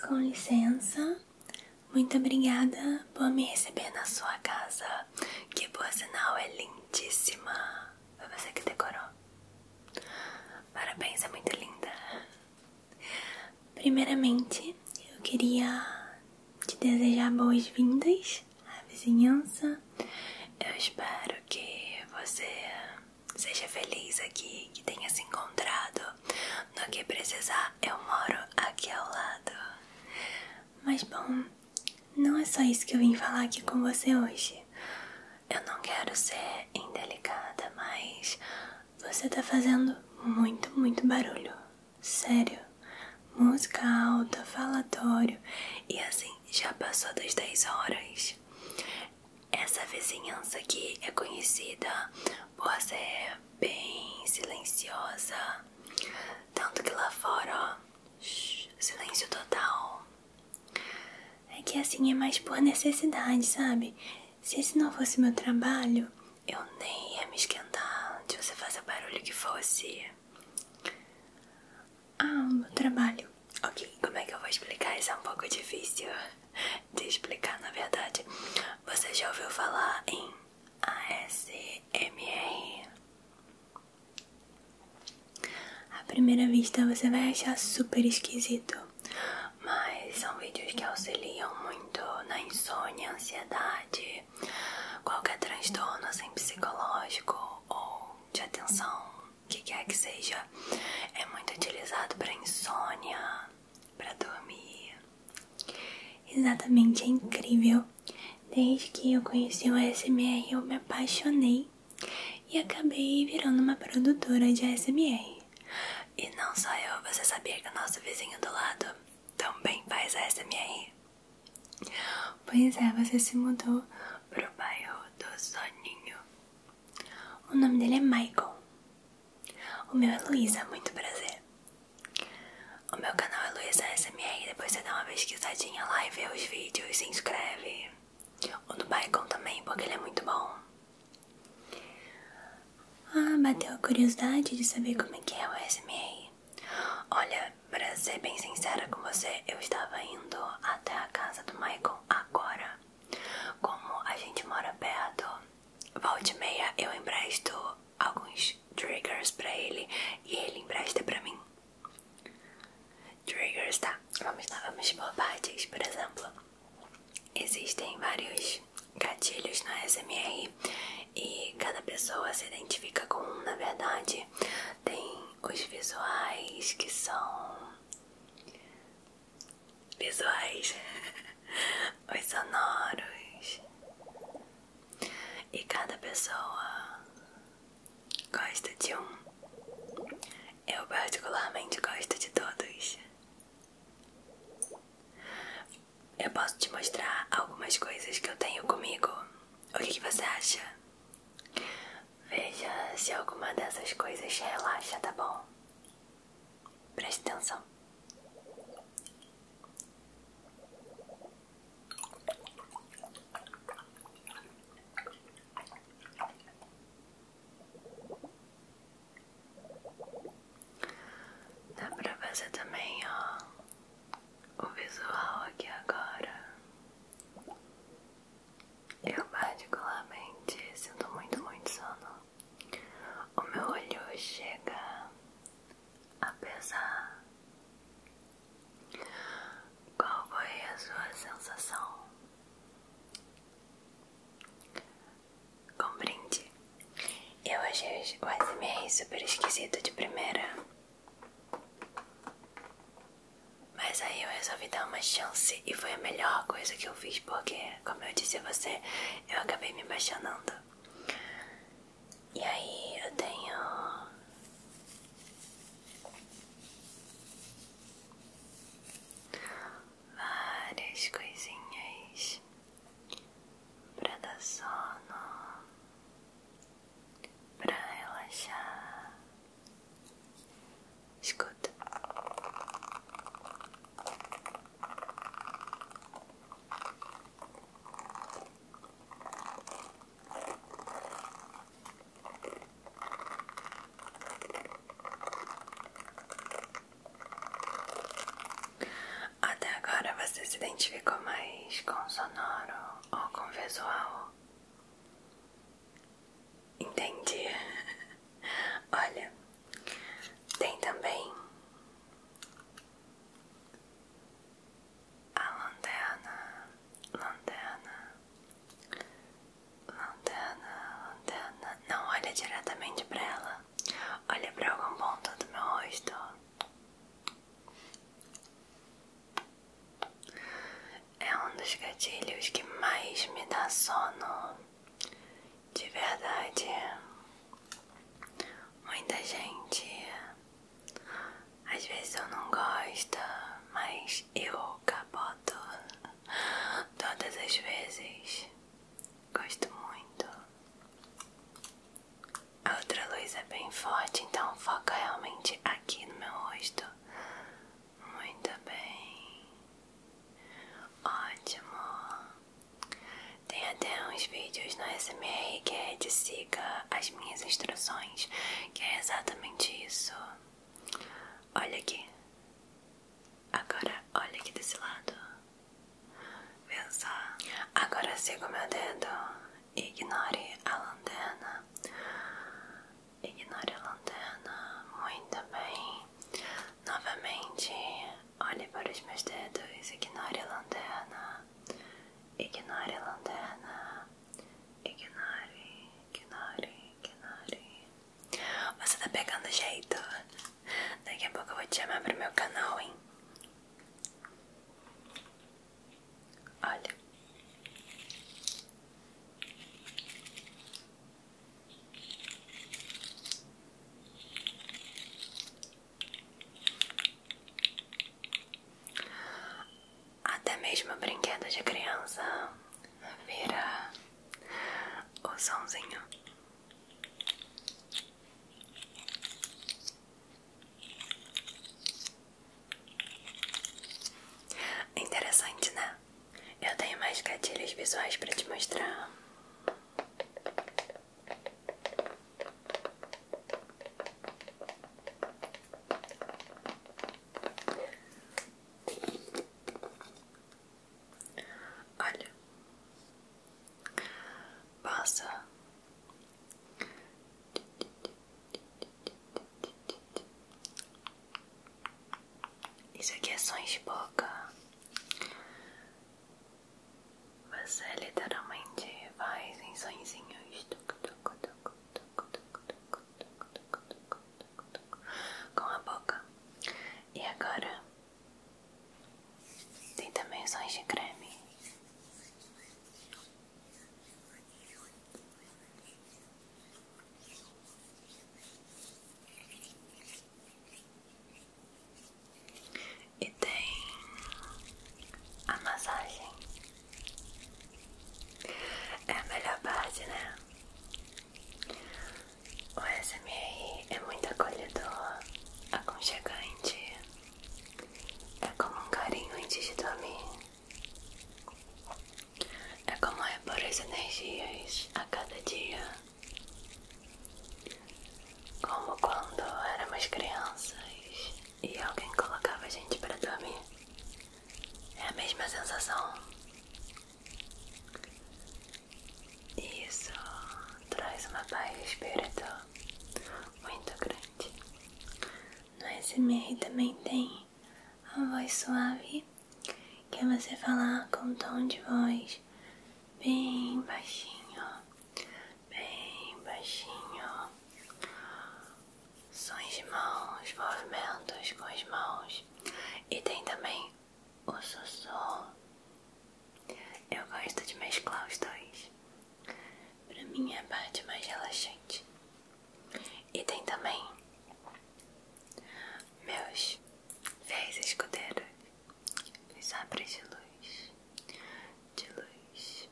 Com licença, muito obrigada por me receber na sua casa, que boa sinal é lindíssima. Foi você que decorou. Parabéns, é muito linda. Primeiramente, eu queria te desejar boas-vindas à vizinhança. Eu espero que você seja feliz aqui, que tenha se encontrado no que precisar, eu moro aqui ao lado. Mas bom, não é só isso que eu vim falar aqui com você hoje. Eu não quero ser indelicada, mas você tá fazendo muito, muito barulho. Sério. Música alta, falatório. E assim, já passou das 10 horas. Essa vizinhança aqui é conhecida por ser bem silenciosa. Tanto que lá fora, ó, silêncio total. É que assim é mais por necessidade, sabe? Se esse não fosse meu trabalho, eu nem ia me esquentar de você fazer barulho que fosse. Ah, meu trabalho. Ok, como é que eu vou explicar? Isso é um pouco difícil de explicar, na verdade. Você já ouviu falar em ASMR? À primeira vista você vai achar super esquisito, mas são vídeos que auxiliam muito na insônia, ansiedade, qualquer transtorno assim, psicológico ou de atenção, o que quer que seja. É muito utilizado para insônia, para dormir. Exatamente, é incrível. Desde que eu conheci o ASMR, eu me apaixonei e acabei virando uma produtora de ASMR. E não só eu, você sabia que o nosso vizinho do lado também faz ASMR? Pois é, você se mudou pro bairro do Soninho. O nome dele é Michael. O meu é Luísa, muito prazer. O meu canal é Luísa SMR, depois você dá uma pesquisadinha lá e vê os vídeos, se inscreve. O do Baikon também, porque ele é muito bom. Ah, bateu a curiosidade de saber como é que é o SMR. Olha, pra ser bem sincera com você, eu estava indo até a casa do Michael agora. Como a gente mora perto, Volte meia, eu empresto alguns triggers pra ele e ele empresta pra mim. Triggers, tá? Vamos lá, vamos por partes. Por exemplo, existem vários gatilhos na SMR e cada pessoa se identifica com um, na verdade. Tem os visuais que são visuais, os sonoros. E cada pessoa gosta de um. Eu particularmente gosto de todos. Eu posso te mostrar algumas coisas que eu tenho comigo. O que, que você acha? Veja se alguma dessas coisas relaxa, tá bom? Preste atenção. Dá pra fazer também, ó, o visual aqui agora. Eu particularmente sinto muito, muito sono. O meu olho chega apesar. Qual foi a sua sensação? Compreende? Eu achei o ASMR super esquisito de primeira. Mas aí eu resolvi dar uma chance e foi a melhor coisa que eu fiz porque, como eu disse a você, eu acabei me apaixonando. E aí eu tenho várias coisinhas pra dar sono, pra relaxar. Escuta. Até agora você se identificou mais com sonoro ou com visual? Entendi. Olha, tem também a lanterna, lanterna, lanterna, lanterna. Não olha diretamente para ela, olha para algum ponto do meu rosto. É um dos gatilhos que mais me dá sono, de verdade. Muita gente às vezes eu não gosto, mas eu capoto todas as vezes. Gosto muito. A outra luz é bem forte, então foca é realmente aqui no meu rosto. Muito bem. Ótimo. Tem até uns vídeos na SMR que é de siga as minhas instruções, que é exatamente isso. Olha aqui. Agora olha aqui desse lado. Vê só. Agora siga o meu dedo. Ignore a lanterna. Ignore a lanterna. Muito bem. Novamente, Olhe para os meus dedos, ignore a lanterna, ignore a lanterna, ignore, ignore, ignore. Você tá pegando jeito? Daqui a pouco eu vou te chamar pro meu canal, hein? Olha. Até mesmo brinquedo de criança vira o somzinho. Interessante, né? Eu tenho mais gatilhos visuais para te mostrar. Olha, passa isso aqui é sons de boca. Você literalmente faz em sonzinhos com a boca. E agora tem também sons de creme e tem a massagem. É a melhor parte, né? O SMR é muito acolhedor, aconchegante. É como um carinho antes de dormir. É como repor as energias a cada dia. Como quando éramos crianças e alguém colocava a gente para dormir. É a mesma sensação. Isso traz uma paz espiritual muito grande. No SMR também tem a voz suave, que é você falar com um tom de voz bem baixinho, bem baixinho. Sons de mãos, movimentos com as mãos. E tem também o sussurro. Eu gosto de mesclar os dois. Pra mim é a parte mais relaxante. E tem também meus fiéis escudeiros, os sabres de luz, de luz,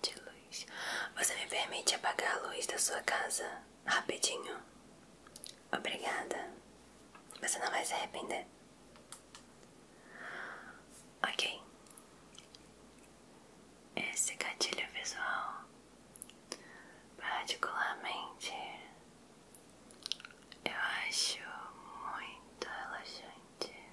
de luz. Você me permite apagar a luz da sua casa rapidinho? Obrigada. Você não vai se arrepender. Ok. Esse gatilho visual, particularmente, eu acho muito relaxante.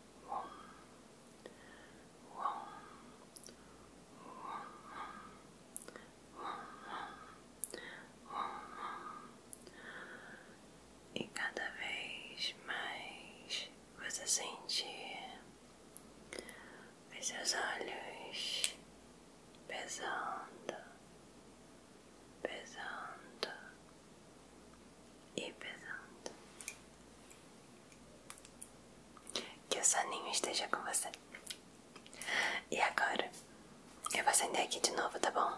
E cada vez mais você sente os seus olhos pesando, pesando e pesando. Que o soninho esteja com você. E agora, eu vou acender aqui de novo, tá bom?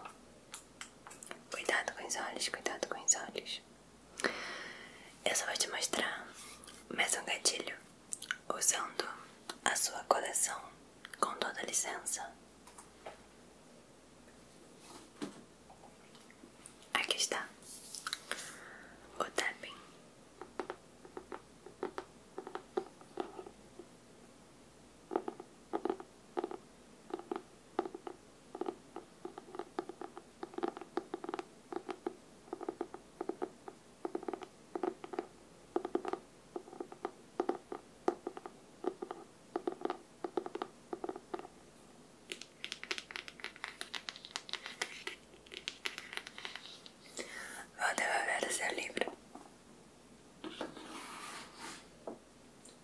Cuidado com os olhos, cuidado com os olhos. Eu só vou te mostrar mais um gatilho usando a sua coleção com toda licença. Aqui está o tapping. Vou devolver o seu livro.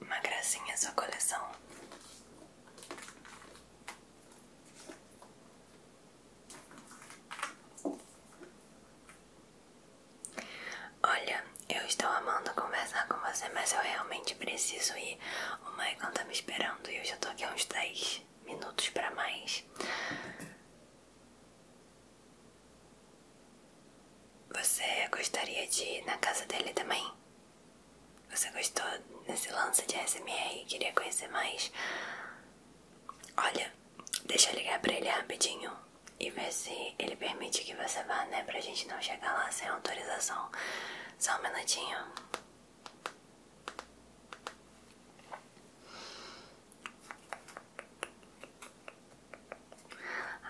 Uma gracinha sua coleção. Olha, eu estou amando conversar com você, mas eu realmente preciso ir. O Maicon está me esperando e eu já estou aqui há uns 10 minutos para mais. Você gostaria de ir na casa dele também? Você gostou desse lance de SMR e queria conhecer mais? Olha, deixa eu ligar pra ele rapidinho e ver se ele permite que você vá, né? Pra gente não chegar lá sem autorização. Só um minutinho.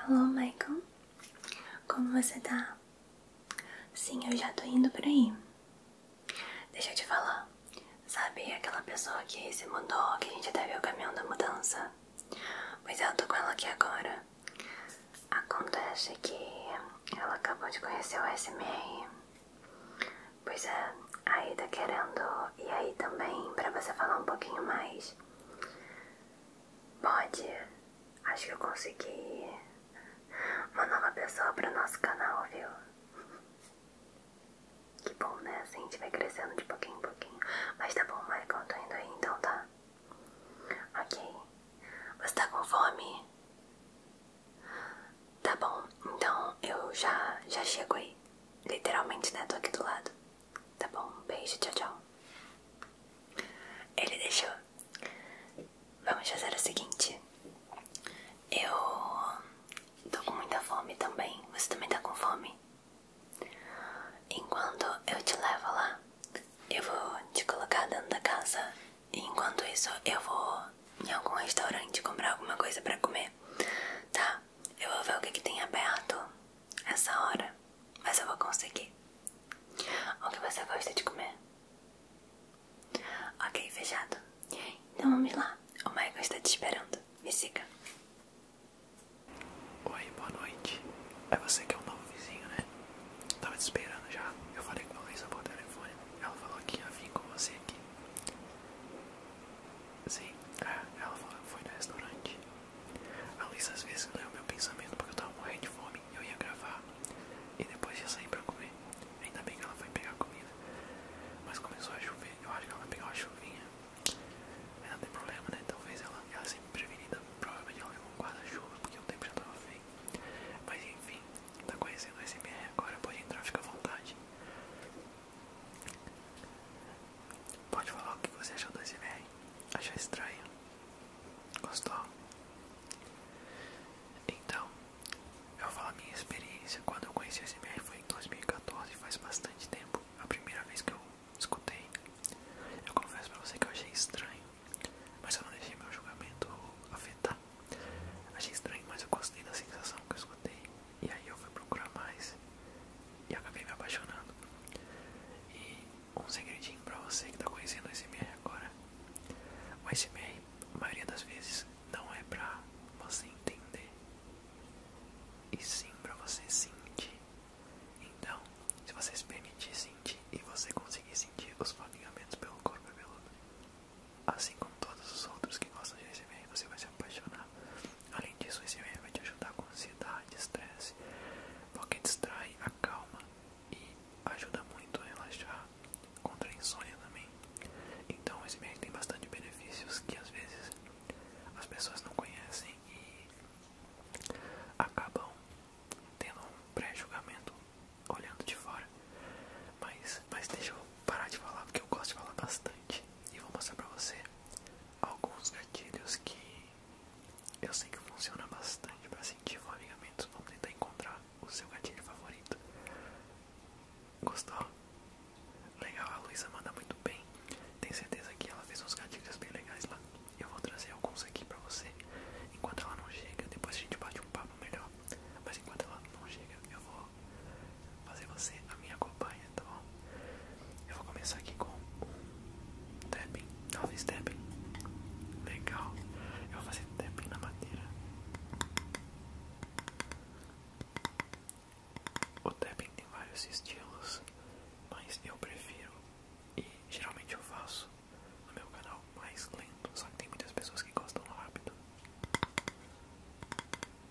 Alô, Michael, como você tá? Sim, eu já tô indo por aí. Deixa eu te falar, sabe aquela pessoa que se mudou, que a gente até viu o caminhão da mudança? Pois é, eu tô com ela aqui agora. Acontece que ela acabou de conhecer o SMR Pois é, aí tá querendo. E aí também, pra você falar um pouquinho mais. Pode. Acho que eu consegui uma nova pessoa pro nosso canal, viu? Que bom, né? Assim, a gente vai crescendo de pouquinho em pouquinho. Mas tá bom, Michael, eu tô indo aí então, tá? Ok. Você tá com fome? Tá bom, então eu já, já chego aí. Literalmente, né? Tô aqui do lado. Tá bom, beijo, tchau, tchau. Ele deixou. Vamos fazer o seguinte. Eu tô com muita fome também. Você também tá com fome? Enquanto eu te levo lá, eu vou te colocar dentro da casa Enquanto isso, eu vou em algum restaurante comprar alguma coisa pra comer. Tá, eu vou ver o que, tem aberto essa hora. Mas eu vou conseguir. O que você gosta de comer? Ok, fechado. Então vamos lá. O Michael está te esperando. Me siga. Oi, boa noite. É você que é o novo vizinho, né? Tava te esperando já. Eu falei com a Luísa por telefone. Ela falou que ia vir com você aqui. Sim, ah, ela foi no restaurante. A Luísa às vezes leu meu pensamento porque eu tava morrendo de fome. Eu ia gravar e depois ia sair pra comer. Ainda bem que ela foi pegar comida. Mas começou a chover. Eu acho que ela pegou uma chuvinha. Mas não tem problema, né? Talvez ela, ela prevenida. Provavelmente ela levou um guarda-chuva porque o tempo já tava feio. Mas enfim, tá conhecendo a SMR agora, pode entrar, fica à vontade. Pode falar o que você achou do SMR? Achou estranho? Gostou? Então, eu falo a minha experiência. Quando eu conheci o SMR foi em 2014, faz bastante tempo. A primeira vez que eu escutei, eu confesso pra você que eu achei estranho, mas eu não deixei meu julgamento afetar. Achei estranho, mas eu gostei da sensação que eu escutei. E aí eu fui procurar mais e acabei me apaixonando. E um segredinho pra você que tá conhecendo o SMR agora. O SMR, a maioria das vezes, não é pra você entender. E sim pra você sentir. Então, se você se permitir sentir e você conseguir sentir os formigamentos pelo corpo e pelo Assim como todos os outros que gostam de receber, você vai se apaixonar. Além disso, o e vai te ajudar com ansiedade, estresse, porque distrai, acalma e ajuda muito a relaxar contra a insônia também. Então, o e tem bastante benefícios que às vezes as pessoas não conhecem e acabam tendo um pré-julgamento olhando de fora. Mas, mas deixa eu parar de falar porque eu gosto de falar bastante e vou mostrar pra você alguns gatilhos que eu sei que funciona bastante para sentir formigamentos. Vamos tentar encontrar o seu gatilho favorito. Gostou? Legal, a Luísa manda muito bem. Tenho certeza que ela fez uns gatilhos bem legais lá. Eu vou trazer alguns aqui pra você. Enquanto ela não chega, depois a gente bate um papo melhor. Mas enquanto ela não chega, eu vou fazer você a minha companhia, tá bom? Eu vou começar aqui com um tapping, talvez tapping. Legal. Eu vou fazer tapping na madeira. O tapping tem vários estilos, mas eu prefiro e geralmente eu faço no meu canal mais lento, só que tem muitas pessoas que gostam rápido.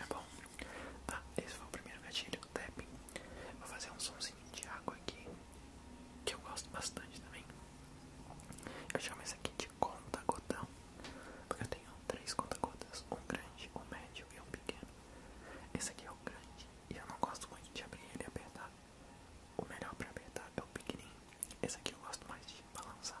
É bom. Tá, esse foi o primeiro gatilho, tapping. Vou fazer um somzinho de água aqui que eu gosto bastante também. Eu chamo esse aqui de conta-gotão, porque eu tenho três conta-gotas, um grande, um médio e um pequeno. Esse aqui é o grande e eu não gosto muito de abrir ele e apertar. O melhor para apertar é o pequenininho. Esse aqui eu gosto mais de balançar.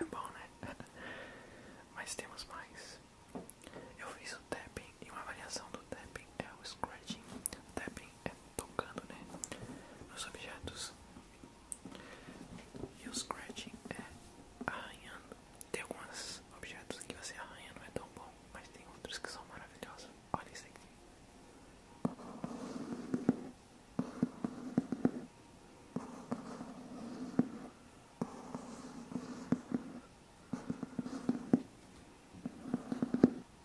É bom, né? Mas temos mais. Eu fiz o tapping e uma variação do tapping é o scratching, tapping é tocando, né, nos objetos. E o scratching é arranhando. Tem alguns objetos que você arranha, não é tão bom, mas tem outros que são maravilhosos. Olha isso aqui.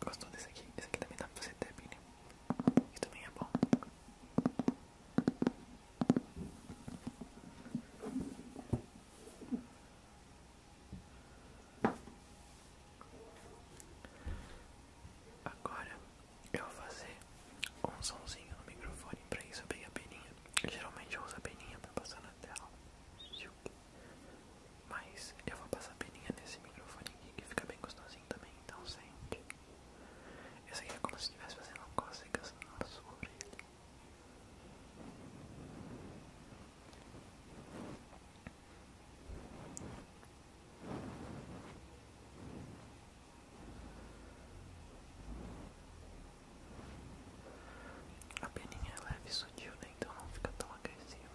Gostou desse aqui? Esse aqui também dá pra fazer tapping. Isso também é bom. Agora eu vou fazer um somzinho no microfone. Pra isso eu a peninha. Geralmente eu uso a peninha pra passar na tela. Mas eu vou passar a peninha nesse microfone que fica bem gostosinho também, então sente. Isso aqui é como se estivesse fazendo cócegas na sua orelha. A peninha é leve e sutil, né? Então não fica tão agressiva.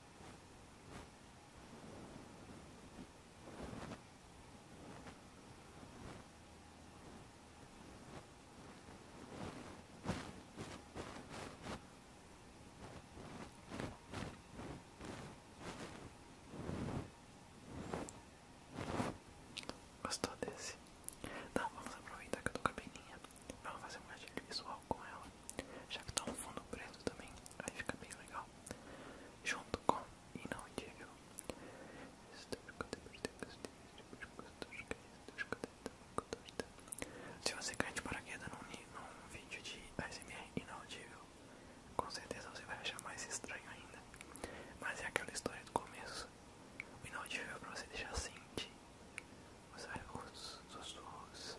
Gostou desse? Tá, vamos aproveitar que eu tô com a Vamos fazer um gatilho visual com ela. Já que tá um fundo preto também, aí fica bem legal junto com Inaudível. Se você cai paraquedas num, vídeo de ASMR inaudível, com certeza você vai achar mais estranho ainda. Mas é aquela história do começo. O inaudível é pra você deixar sentir assim, os sussurros,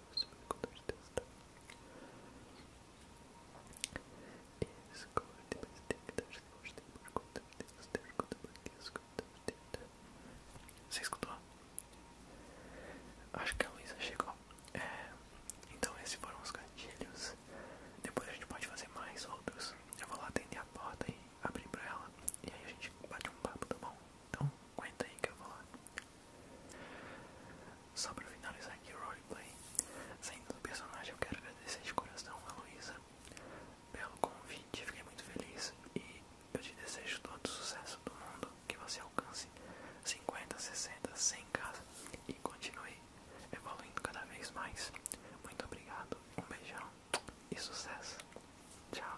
Deus, com Você escutou? Acho que a Luísa chegou. É, então, esses foram os gatilhos. Depois a gente pode fazer mais outros. Eu vou lá atender a porta e abrir pra ela. E aí a gente bate um papo, tá bom? Então, aguenta aí que eu vou lá. Só para finalizar aqui o roleplay, saindo do personagem, eu quero agradecer de coração a Luísa pelo convite, fiquei muito feliz e eu te desejo todo o sucesso do mundo, que você alcance 50, 60, 100 casas e continue evoluindo cada vez mais. Muito obrigado, um beijão e sucesso. Tchau.